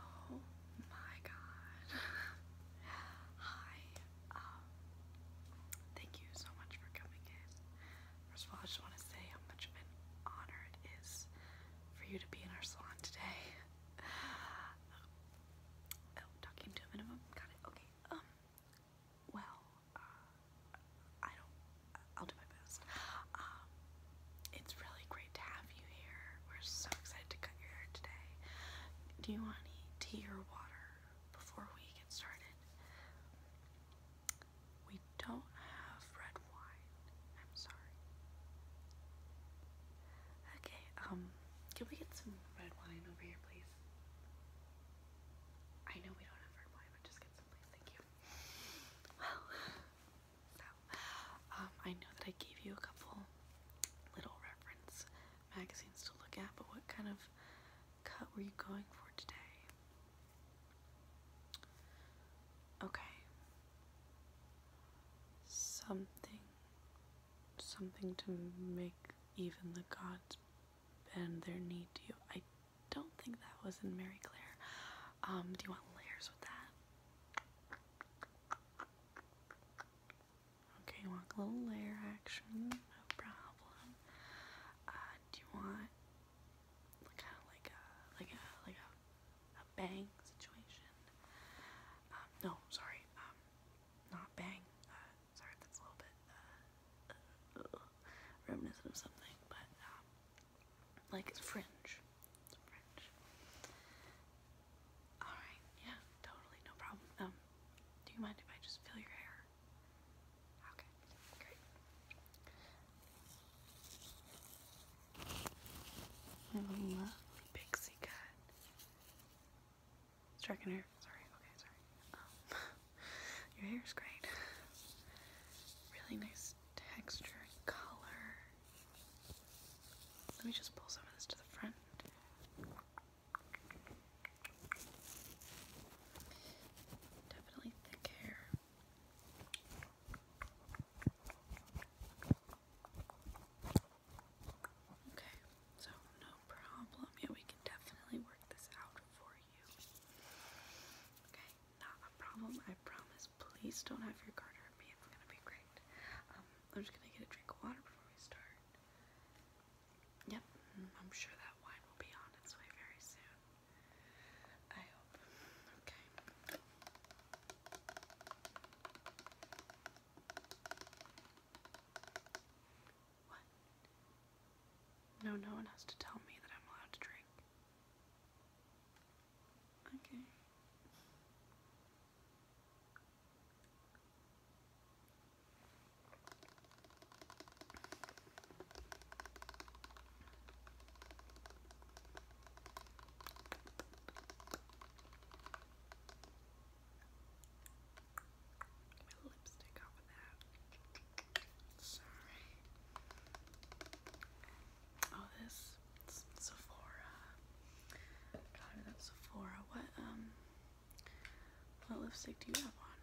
Oh my god. Hi. Um, thank you so much for coming in. First of all, I just want to say how much of an honor it is for you to be in our salon today. Oh, talking to a minimum. Got it. Okay. Um well, uh, I don't, I'll do my best. Um, it's really great to have you here. We're so excited to cut your hair today. Do you want tea or water before we get started? We don't have red wine. I'm sorry. Okay, um, can we get some red wine over here, please? I know we don't have red wine, but just get some, please. Thank you. Well, um, I know that I gave you a couple little reference magazines to look at, but what kind of cut were you going for today? Okay. Something. Something to make even the gods bend their knee to you. I don't think that was in Mary Claire. Um, do you want layers with that? Okay, you want a little layer action, no problem. Uh, do you want kind of like a like a like a a bang situation? Um, no, sorry, um, not bang. Uh, sorry, that's a little bit uh, reminiscent of something, but like it's fringe. Alright, yeah, totally, no problem. Um, do you mind if I just feel your hair? Okay, great. I love uh, pixie cut. Striking her. Sorry, okay, sorry. Um, your hair's great. Really nice texture and color. Let me just pull some of this to the front. Definitely thick hair. Okay, so no problem. Yeah, we can definitely work this out for you. Okay, not a problem. I promise. Please don't have your card hurt me. It's gonna be great. Um, I'm just gonna get a drink of water before we start. Yep, mm, I'm sure that wine will be on its way very soon. I hope. Okay. What? No, no one has to tell me that I'm allowed to drink. Okay. My lipstick off of that. Oh, this it's Sephora. Got it Sephora. What um, what lipstick do you have on?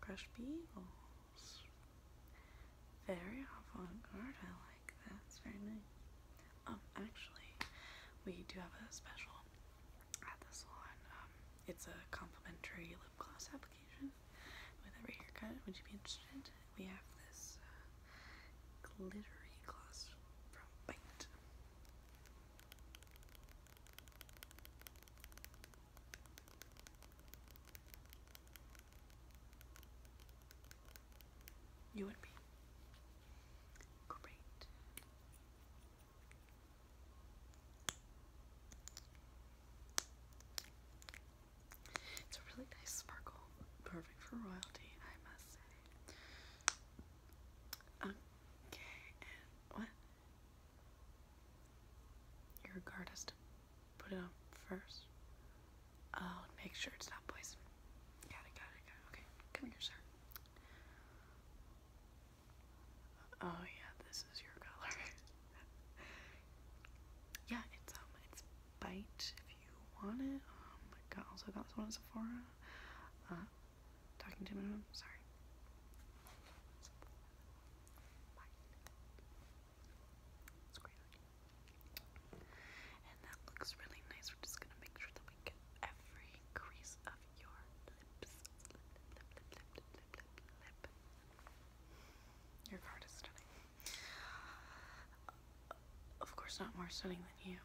Crush Beagles. Very avant-garde. I like that. It's very nice. Um, actually, we do have a special at the salon. Um, it's a complimentary lip gloss application with every haircut. Would you be interested? We have this uh, glittery gloss from Bite. You would be great. It's a really nice sparkle, perfect for royalty, I must say. Okay, what? Your guard has to put it on first. Oh, make sure it's not poisoned. got it, got it. Okay, come here, sir. Oh yeah, this is your color. yeah, it's um, it's bite if you want it. Um, I got also got this one at Sephora. Uh, talking to my mom. Sorry. And that looks really nice. We're just gonna make sure that we get every crease of your lips. Your card is stunning. Of course, not more stunning than you.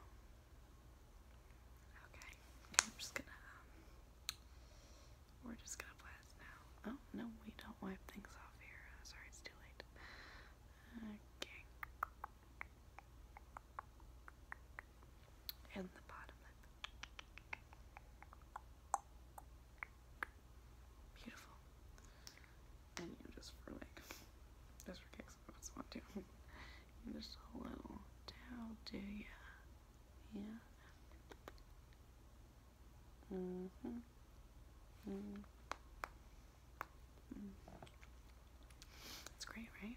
Okay, I'm just gonna. Um, we're just gonna blast now. Oh no, we don't wipe things off here. Uh, sorry, it's too late. Okay and the bottom lip. Beautiful. And you just for like, just for kicks, I just want to. just a little down, do ya? Yeah. Mm hmm. -hmm. It's great, right?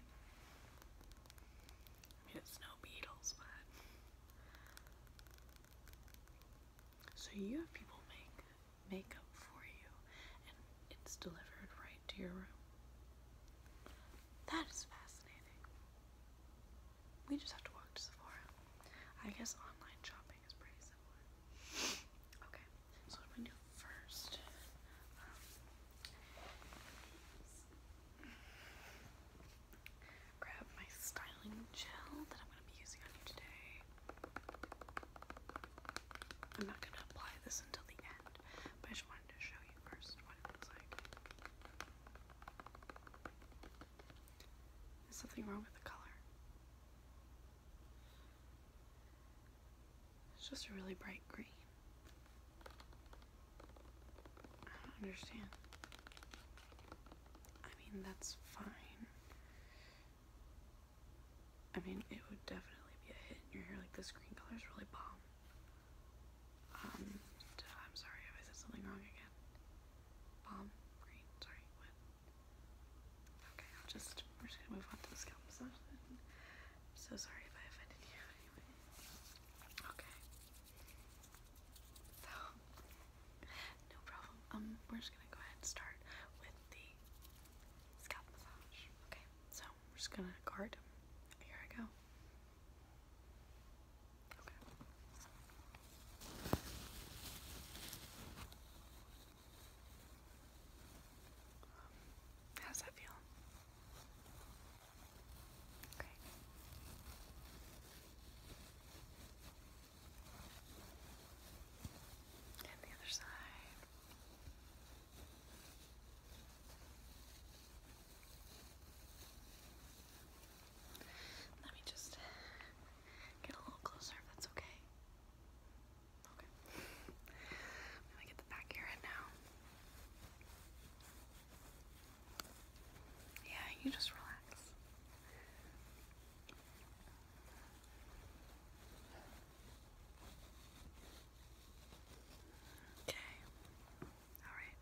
it's no Beatles, but so you have people make makeup for you and it's delivered right to your room. That is fascinating. We just have to walk to Sephora. I guess online shopping is pretty simple. Okay, so what I'm do first um, Grab my styling gel that I'm going to be using on you today. I'm not going to apply this until the end, but I just wanted to show you first what it like. Is something wrong with the color? It's just a really bright green. I don't understand. I mean, that's fine. I mean, it would definitely be a hit in your hair. Like, this green color is really bomb. Um, I'm sorry if I said something wrong again. Bomb, green, sorry, Okay, just, we're just gonna move on to the scalp massage so sorry if I offended you Okay. So, no problem. Um, we're just gonna go ahead and start with the scalp massage. Okay, so we're just gonna guard. Here I go. Okay. Um, how's that feel? Okay. the other side. Let me just get a little closer if that's okay. Okay. I'm get the back here in now. Yeah, you just relax. Okay. Alright.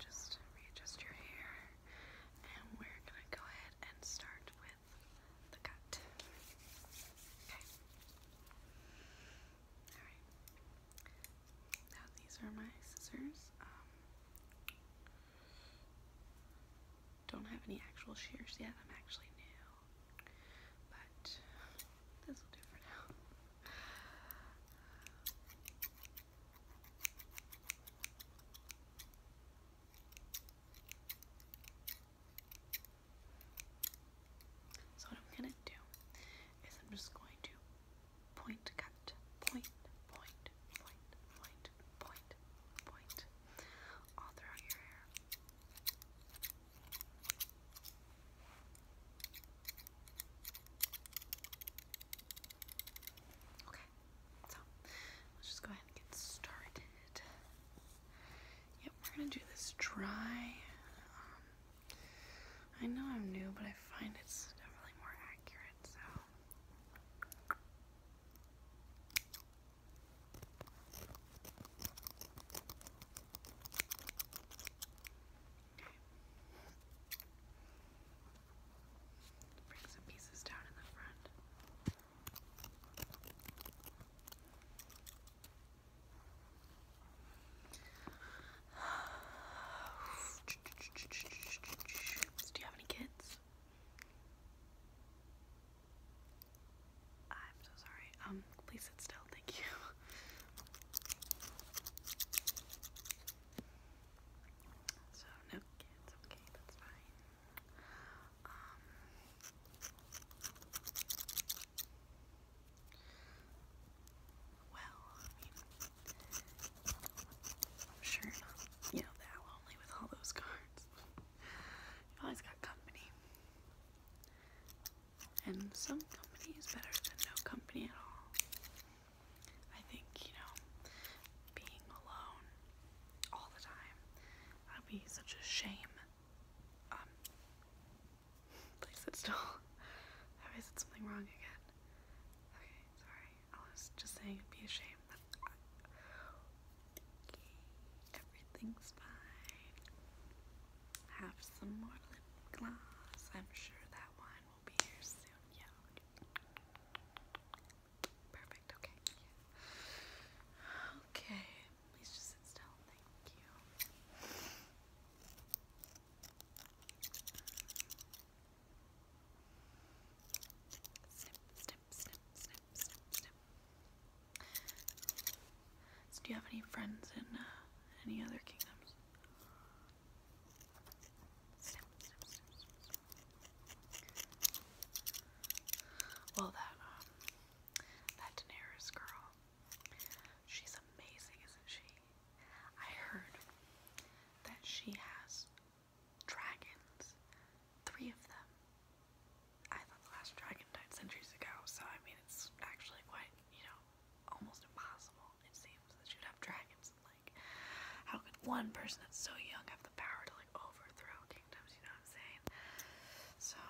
Just readjust your hair. And we're going to go ahead and start with the cut. Okay. Alright these are my scissors. Um, don't have any actual shears yet. I'm actually new, but this will do for now. So what I'm gonna do is I'm just going to point cut, point, point, point, point, point, point, all throughout your hair. Okay, so let's just go ahead and get started. Yep, we're gonna do this dry um, I know I'm new, but I find it's definitely more accurate, so. Bring some pieces down in the front. Do you have any kids? I'm so sorry. Um, please sit still. Thank you. So no kids. Okay, that's fine. Um, well, I am sure you know, that lonely with all those cards. you always got company. And some company is better than no company at all. I think, you know, being alone all the time, that would be such a shame. Um, Please sit still. I said something wrong again? Okay, sorry. I was just saying it'd be a shame. everything's fine. Have some more lip gloss. I'm sure that one will be here soon. Yeah. Perfect. Okay. Okay do you have any friends in uh, any other kingdoms? Well, that um, that Daenerys girl. She's amazing, isn't she? I heard that she has dragons. Three of them. I thought the last dragon died centuries ago, so I mean it's actually quite, you know, almost impossible, it seems, that you'd have dragons and like how could one person that's so young have the power to like overthrow kingdoms, you know what I'm saying? So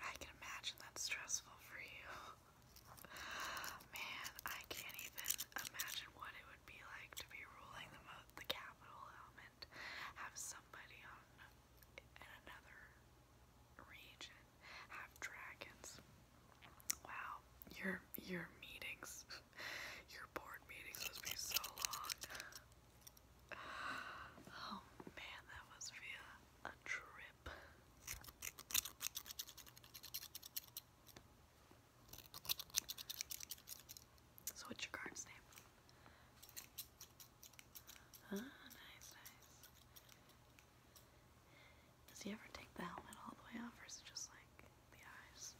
I can imagine that's stressful for you. Man, I can't even imagine what it would be like to be ruling the the capital element, have somebody on in another region, have dragons. Wow, your your meetings, your board meetings must be so long. Oh man, that must be a trip. So what's your card's name? Ah, nice, nice. Does he ever take the helmet all the off, or just like the eyes?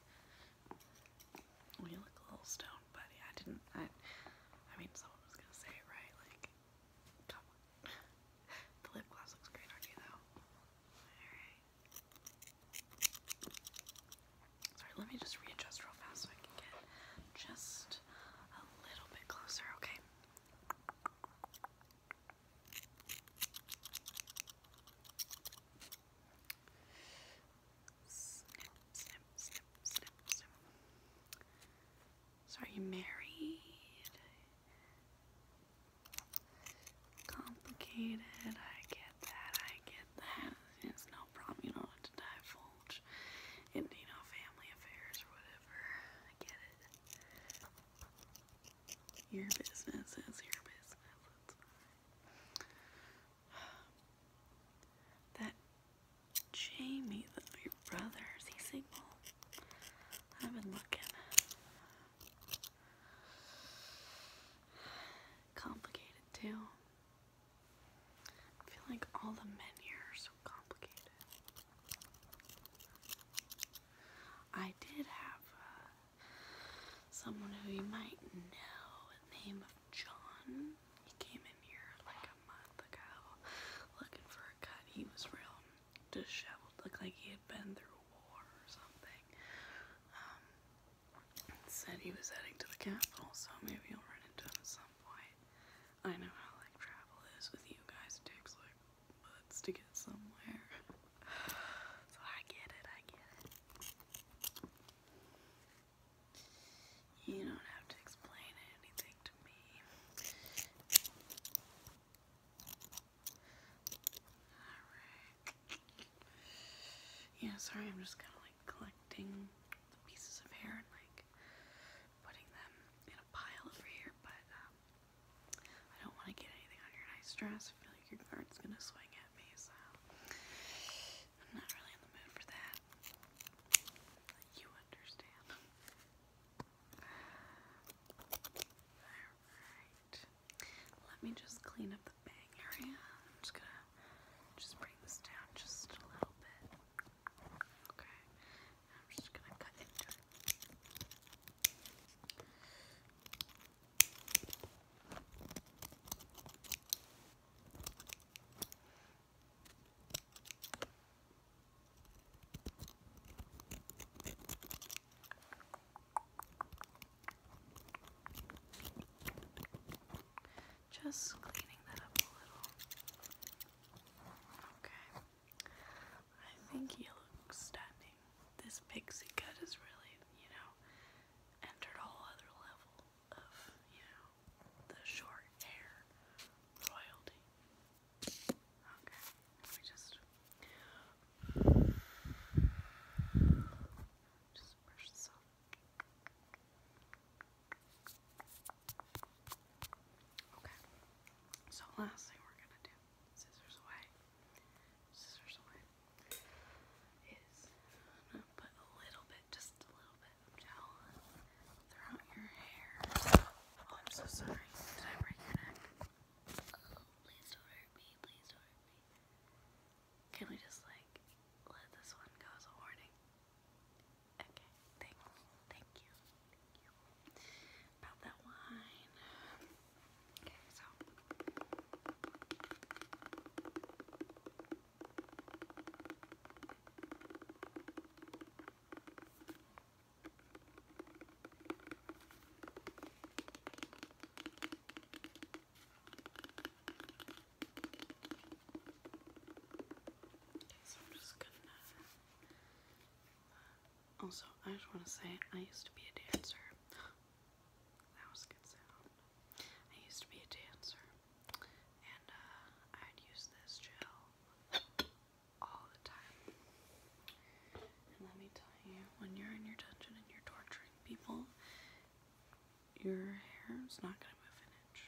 you look a little stoned, buddy. I didn't. I. I mean, someone was gonna say it right, like the lip gloss looks great on you, though. Alright. Sorry, let me just readjust real fast so I can get just a little bit closer, okay? Snip, snip, snip, snip, snip. So are you married? Complicated, I get that, I get that. It's no problem, you don't have to divulge into, you know, family affairs or whatever. I get it. Your business is your business. that Jamie, the your brothers. He's single? I've been looking. Complicated too. I feel like all the men here are so complicated. I did have uh, someone who you might know, the John. He came in here like a month ago looking for a cut. He was real disheveled, looked like he had been through war or something. Um, said he was heading to the capital, so maybe i will run into him at some point. I know how like travel is with you guys. It takes like months to get somewhere. so I get it, I get it. You don't have to explain anything to me. Yeah, sorry, I'm just kind of like collecting pieces of hair and like putting them in a pile over here, but um, I don't want to get anything on your nice dress. I feel like your guard's gonna swing at me, so I'm not really in the mood for that. Let me just clean up the bang area. I'm just gonna just bring this down just a little bit. Okay. I'm just gonna cut into it. Just cleaning that up a little. Okay. I think he looks stunning. This pixie cut is really, you know, entered a whole other level of, you know, the short hair royalty. Okay, let just just brush this off. Okay. So last thing we're gonna do, scissors away, scissors away, is put a little bit, just a little bit gel throughout your hair. Oh, I'm so sorry. Did I break your neck? Oh, please don't hurt me. Please don't hurt me. Can we just, like, let this one go as a warning? Okay, thank, you. Thank you. About that wine. Okay, so. Uh, also, I just want to say I used to be a dancer. That was good sound. I used to be a dancer and uh, I'd use this gel all the time. And let me tell you, when you're in your dungeon and you're torturing people, your hair's not gonna move an inch.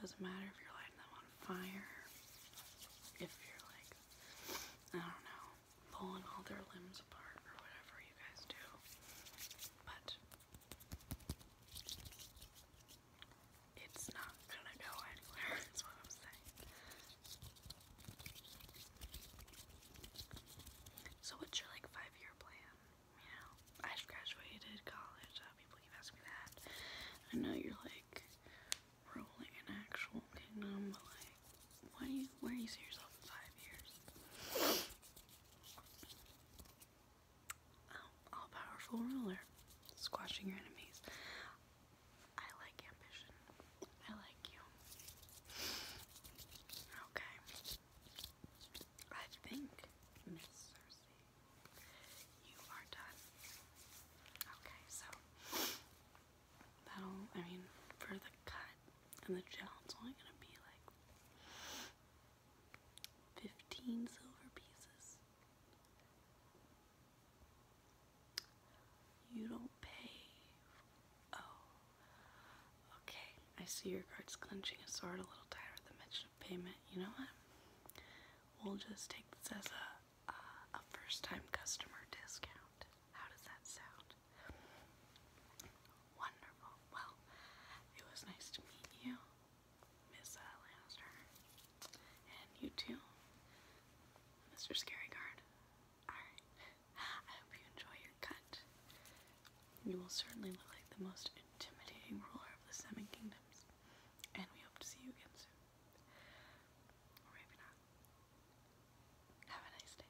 Doesn't matter if you're lighting them on fire, if you're like, I don't know, pulling all their limbs apart or whatever you guys do. But it's not gonna go anywhere, So what's your like five year plan? You know, I've graduated college, uh, people keep asking me that. I know you're like rolling an actual kingdom, but like why do you where do you see yourself in five years? Oh, all-powerful ruler, squashing your enemies. I like ambition. I like you. Okay. I think, Miss Cersei, you are done. Okay, so that'll, I mean, for the cut and the gel, it's only gonna be like 15 silver pieces. You don't pay. Oh. Okay, I see your guards clenching a sword a little tighter at the mention of payment. You know what? We'll just take this as a, a first time customer discount. How does that sound? Wonderful. Well, it was nice to meet you, Miss uh, And you too, Mr. Scaryguard. Alright. I hope you enjoy your cut. You will certainly look like the most intimidating ruler of the Seven Kingdoms. And we hope to see you again soon. Or maybe not. Have a nice day.